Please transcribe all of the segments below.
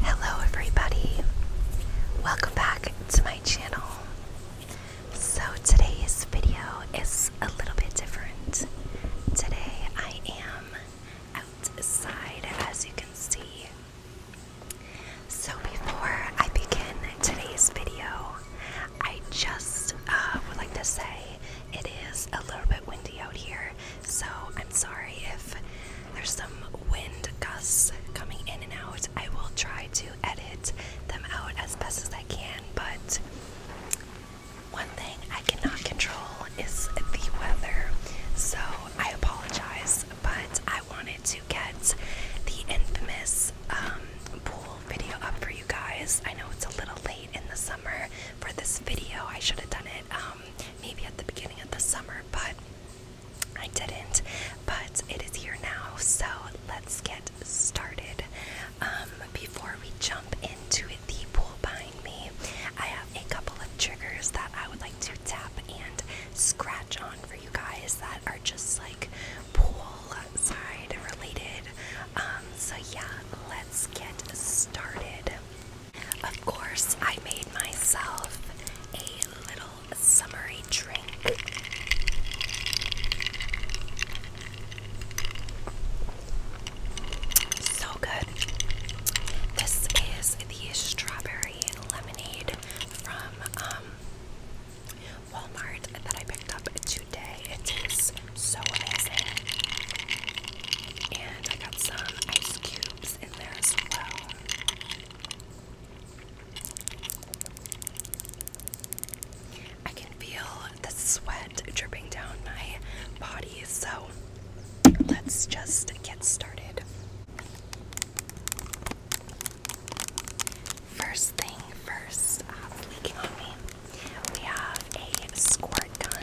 Hello, everybody. Welcome back to my channel. So, today's video is a little bit different. Today, I am outside, as you can see. So, before I begin today's video, I just uh, would like to say it is a little bit windy out here so I'm sorry if there's some wind gusts coming in and out. I will try to edit them out as best as I can, but one thing I cannot control is the weather, so I apologize, but I wanted to get the infamous um, pool video up for you guys. I know it's a little late in the summer for this video. I should have done it um, maybe at the beginning of the summer, but I didn't. But it is here now, so let's get started. Um, before we jump into the pool behind me, I have a couple of triggers that I would like to tap and scratch on for you guys that are just like pool side related. Um, so yeah, let's get started. Of course, I made myself a little summery drink. So good. This is the strawberry lemonade from um, Walmart that I picked up today. It is so amazing. And I got some ice cubes in there as well. I can feel the sweat dripping down my body, so let's just get started. First thing first, uh, we have a squirt gun.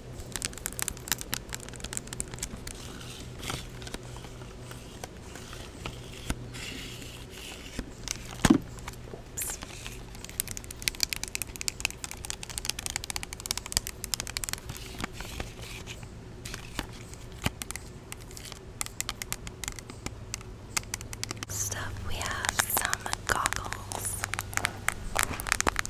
Oops. Stuff we have some goggles.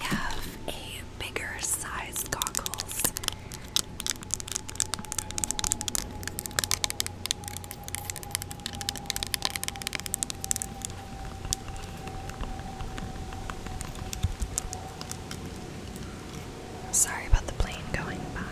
I have a bigger size goggles. Sorry about the plane going by.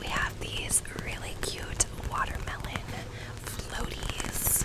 We have these really cute watermelon floaties.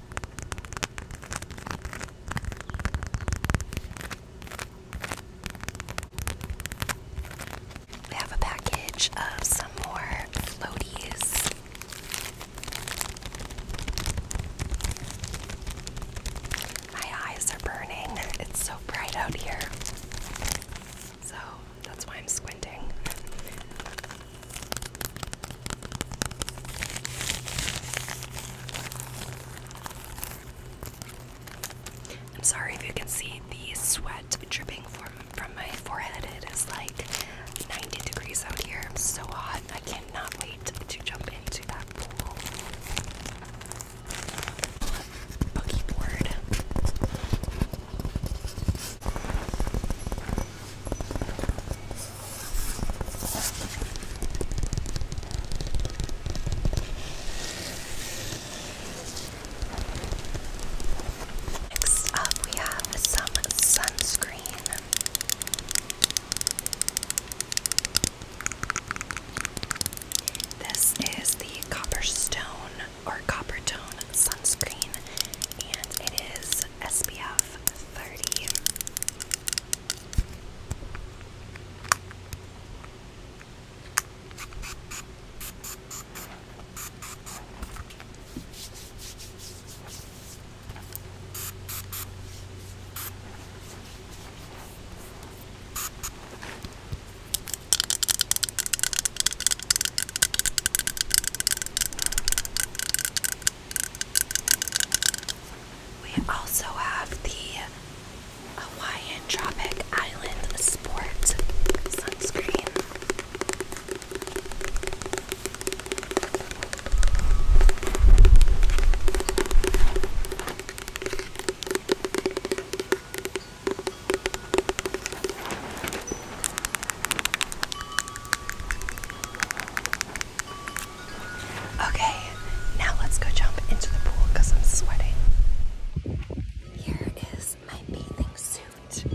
We have a package of some more floaties. My eyes are burning. It's so bright out here. So that's why I'm squinting. I'm sorry if you can see the sweat dripping from from my forehead. It is like 90 degrees out here. I'm so hot. I cannot wait to jump into that pool. Boogie board. Next up, we have some sunscreen. This is the Copperstone or Coppertone sunscreen, and it is SPF 30. We also have the Hawaiian Tropic Island Sport sunscreen. Okay, now let's go jump into the pool because I'm sweating. Here is my bathing suit.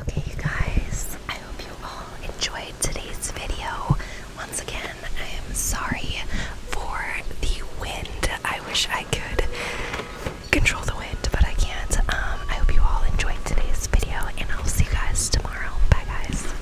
Okay, you guys, I hope you all enjoyed today's video. Once again, I am sorry for the wind. I wish I could control the wind, but I can't. Um, I hope you all enjoyed today's video, and I'll see you guys tomorrow. Bye, guys.